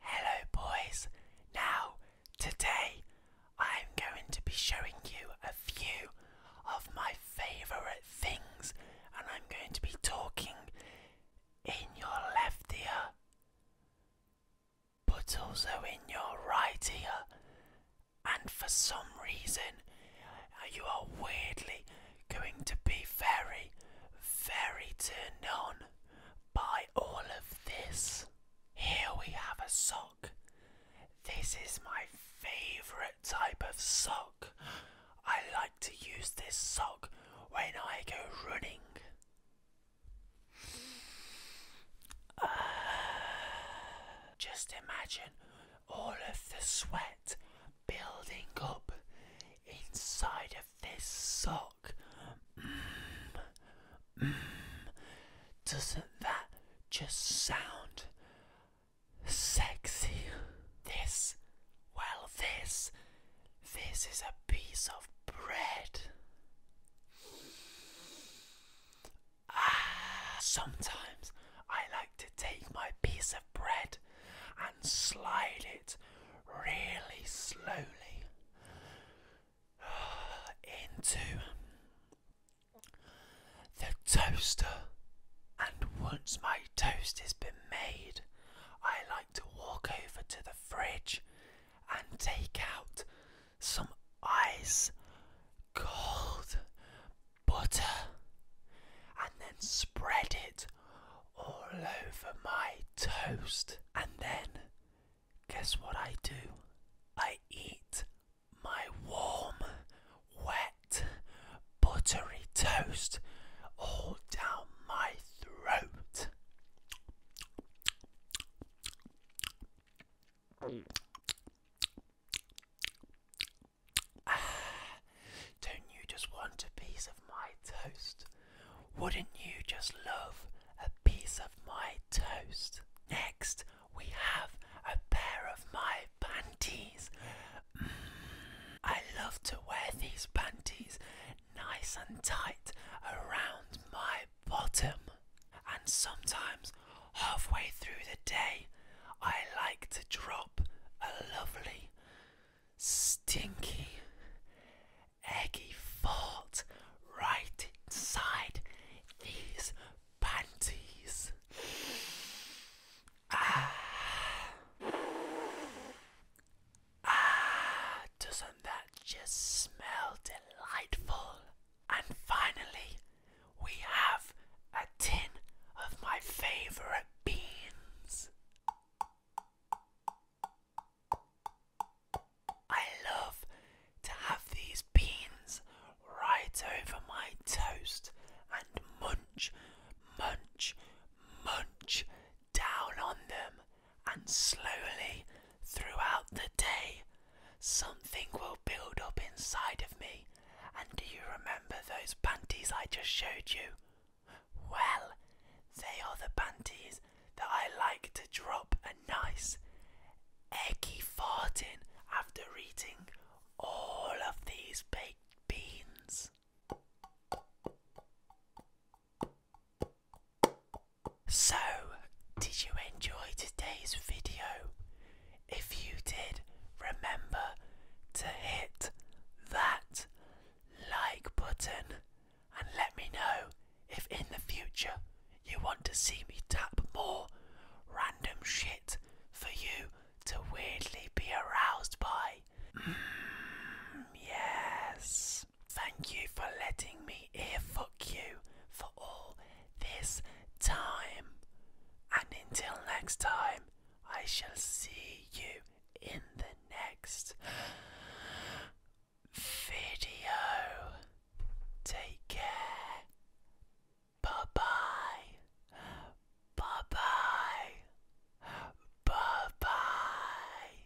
Hello, boys. Now, today I'm going to be showing you a few of my favourite things, and I'm going to be talking in your left ear, but also in your right ear. And for some reason, you are weirdly going to be very, very turned on by all of this. Here we have a sock. This is my favourite type of sock. I like to use this sock when I go running. Uh, just imagine all of the sweat building up inside of this sock. Mm. Mm. Doesn't that just sound sexy? This, well, this, this is a piece of bread. Ah, sometimes I like to take my piece of bread and slide it really slowly into the toaster. And once my toast has been made, I like to walk over to the fridge and take out some ice cold butter and then spread it all over my toast. And then, guess what I do? I eat my warm, wet, buttery toast all down my throat. Ah, don't you just want a piece of my toast? Wouldn't you just love a piece of my toast? Next, we have a pair of my panties. Mm, I love to wear these panties nice and tight around my bottom. And sometimes halfway through the day, I like to drop a lovely, stinky, eggy fart right inside these panties. Ah, ah, doesn't that just smell delightful? And finally, we have a tin of my favorite beans. I love to have these beans right over my toast and munch, munch, munch down on them and slowly Throughout the day, something will build up inside of me. And do you remember those panties I just showed you? Well, they are the panties that I like to drop a nice eggy fart in after eating all of these baked beans. So, did you enjoy today's video? If you did, remember to hit that like button and let me know if in the future you want to see me tap more random shit for you to weirdly be aroused by. Mm, yes. Thank you for letting me ear fuck you for all this time. And until next time, I shall see you in the next video. Take care. Bye bye. Bye bye. Bye bye.